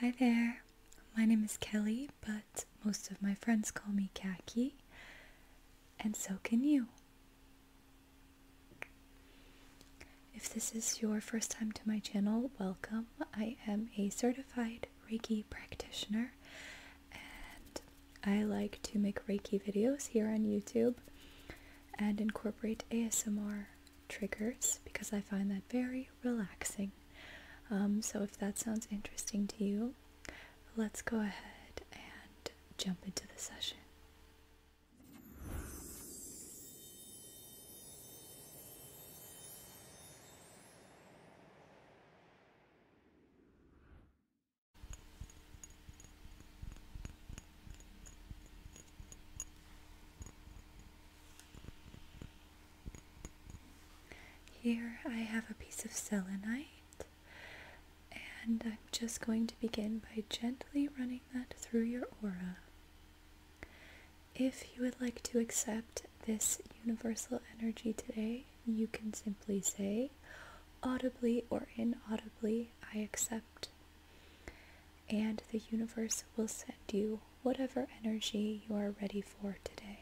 Hi there, my name is Kelly, but most of my friends call me Khaki, and so can you. If this is your first time to my channel, welcome. I am a certified Reiki practitioner, and I like to make Reiki videos here on YouTube and incorporate ASMR triggers because I find that very relaxing. Um, so if that sounds interesting to you, let's go ahead and jump into the session. Here I have a piece of selenite and I'm just going to begin by gently running that through your aura. If you would like to accept this universal energy today, you can simply say audibly or inaudibly, I accept. And the universe will send you whatever energy you are ready for today.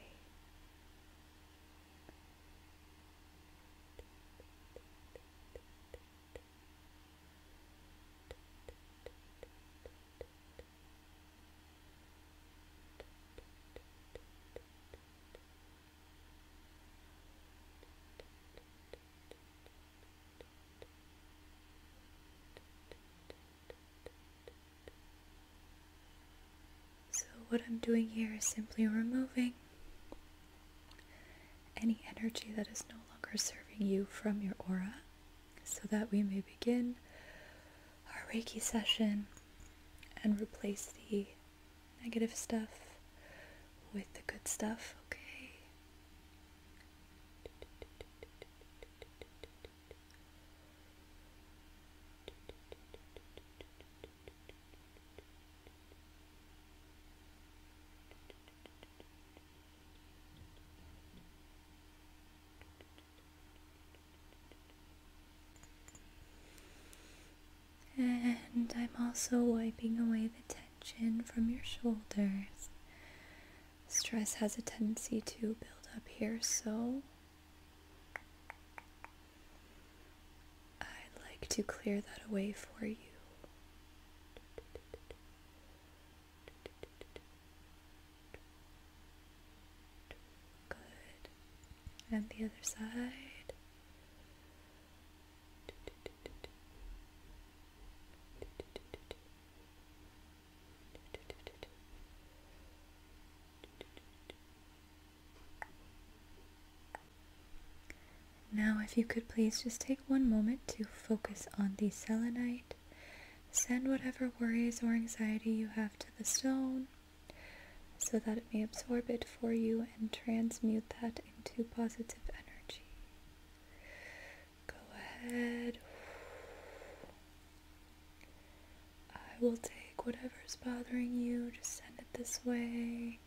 So, what I'm doing here is simply removing any energy that is no longer serving you from your aura so that we may begin our Reiki session and replace the negative stuff with the good stuff, okay? And I'm also wiping away the tension from your shoulders. Stress has a tendency to build up here, so I'd like to clear that away for you. Good. And the other side. Now, if you could please just take one moment to focus on the selenite. Send whatever worries or anxiety you have to the stone so that it may absorb it for you and transmute that into positive energy. Go ahead. I will take whatever's bothering you, just send it this way,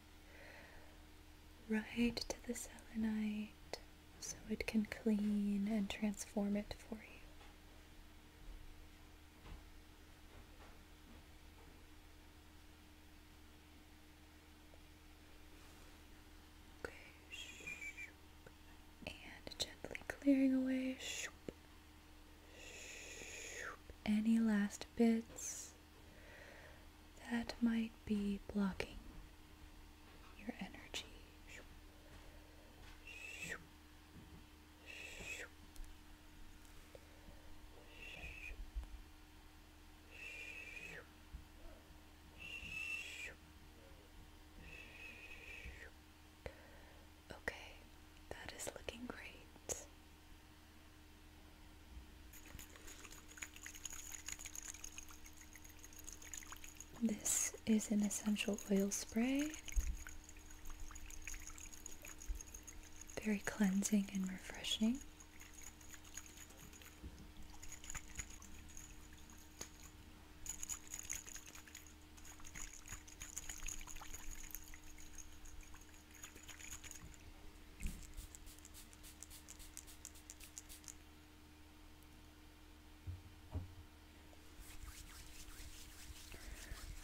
right to the selenite, so it can clean and transform it for you and gently clearing away any last bits that might be blocking your energy. Okay, that is looking great. This is an essential oil spray very cleansing and refreshing.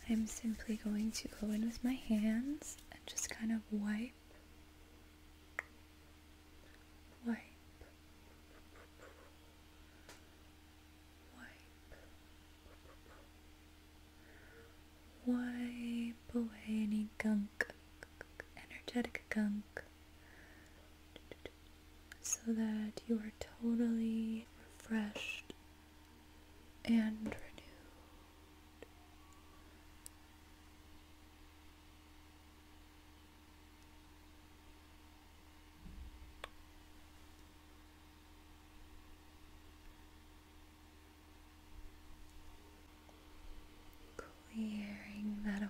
I'm simply going to go in with my hands and just kind of wipe, wipe, wipe, wipe away any gunk, energetic gunk, so that you are totally refreshed and renewed. Clearing that away.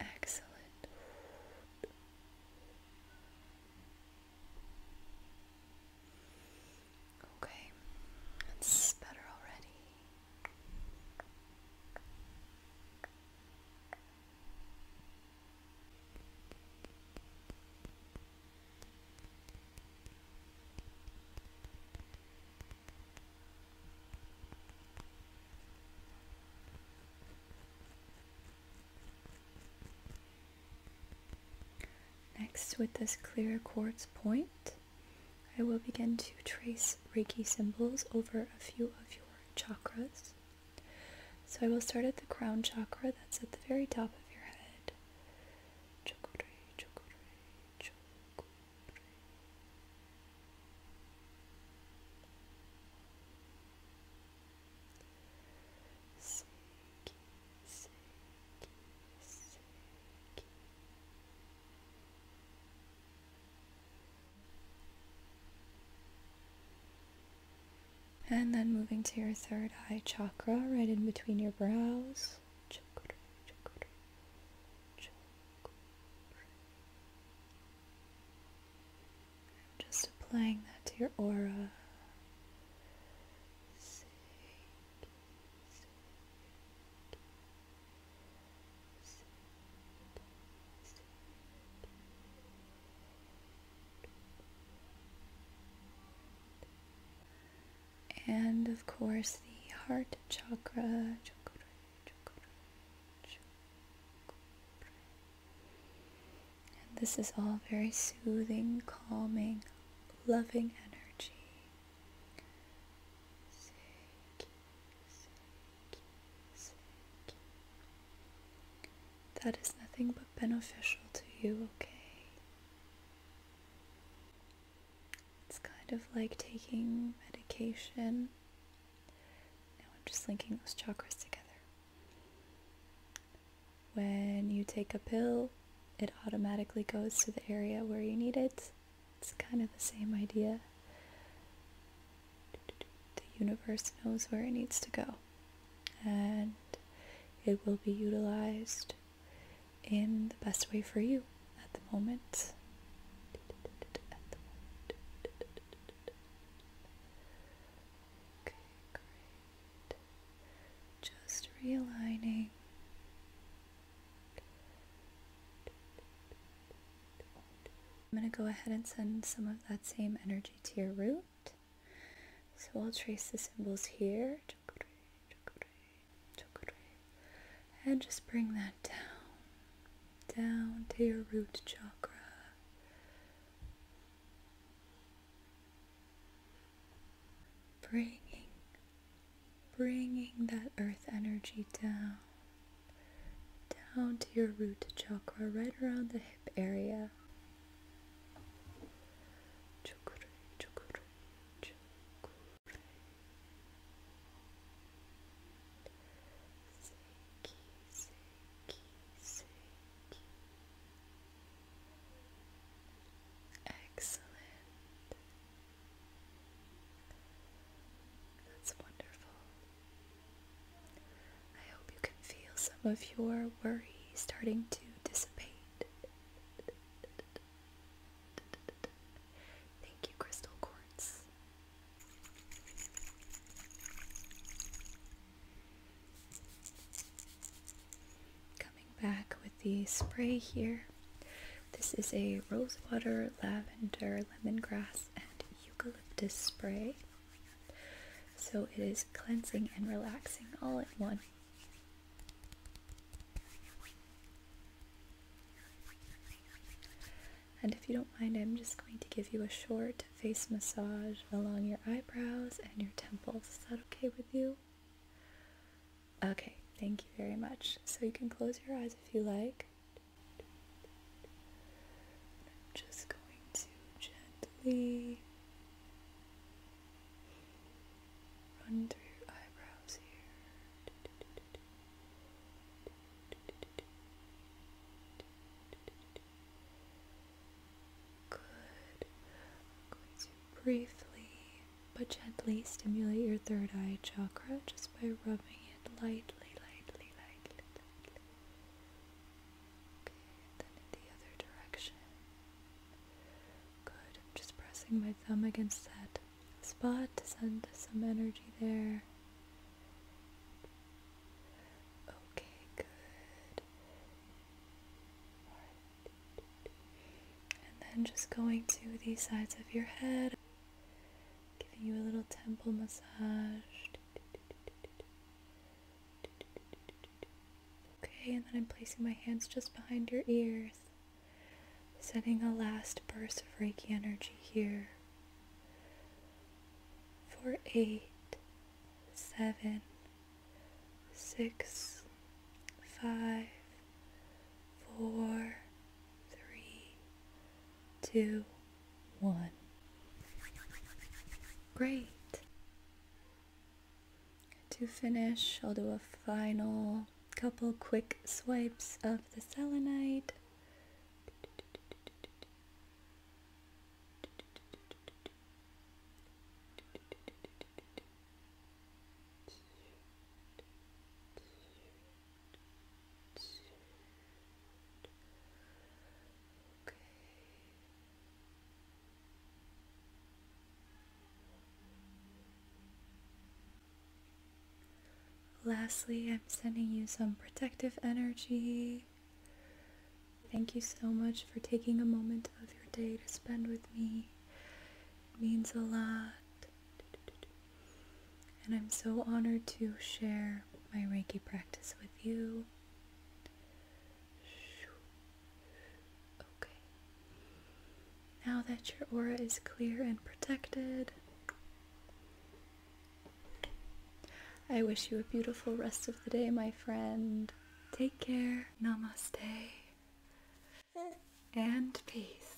Excellent. Okay, that's better already. Next, with this clear quartz point, I will begin to trace Reiki symbols over a few of your chakras. So I will start at the crown chakra, that's at the very top of your head. And then moving to your third eye chakra, right in between your brows. I'm just applying that to your aura and of course the heart chakra. And this is all very soothing, calming, loving energy. That is nothing but beneficial to you, okay? It's kind of like taking medication. Now I'm just linking those chakras together. When you take a pill, it automatically goes to the area where you need it. It's kind of the same idea. The universe knows where it needs to go, and it will be utilized in the best way for you at the moment. Okay, great. Just realigning. I'm going to go ahead and send some of that same energy to your root. So I'll trace the symbols here and just bring that down, down to your root chakra. Bringing, bringing that earth energy down, down to your root chakra, right around the hip area. Excellent. That's wonderful. I hope you can feel some of your worry starting to dissipate. Thank you, Crystal Quartz. Coming back with the spray here. This is a rosewater, lavender, lemongrass, and eucalyptus spray. So it is cleansing and relaxing all in one. And if you don't mind, I'm just going to give you a short face massage along your eyebrows and your temples. Is that okay with you? Okay, thank you very much. So you can close your eyes if you like. I'm just going to gently run through your eyebrows here. Good. I'm going to briefly but gently stimulate your third eye chakra just by rubbing it lightly, lightly, lightly, lightly. Okay, then in the other direction. Good, just pressing my thumb against that spot to send some energy there. Okay, good. And then just going to the sides of your head, giving you a little temple massage. Okay, and then I'm placing my hands just behind your ears, sending a last burst of Reiki energy here. Four, eight, seven, six, five, four, three, two, one. Great. To finish, I'll do a final couple quick swipes of the selenite. Okay. Lastly, I'm sending you some protective energy. Thank you so much for taking a moment of your day to spend with me. It means a lot. And I'm so honored to share my Reiki practice with you. Okay. Now that your aura is clear and protected, I wish you a beautiful rest of the day, my friend. Take care. Namaste. And peace.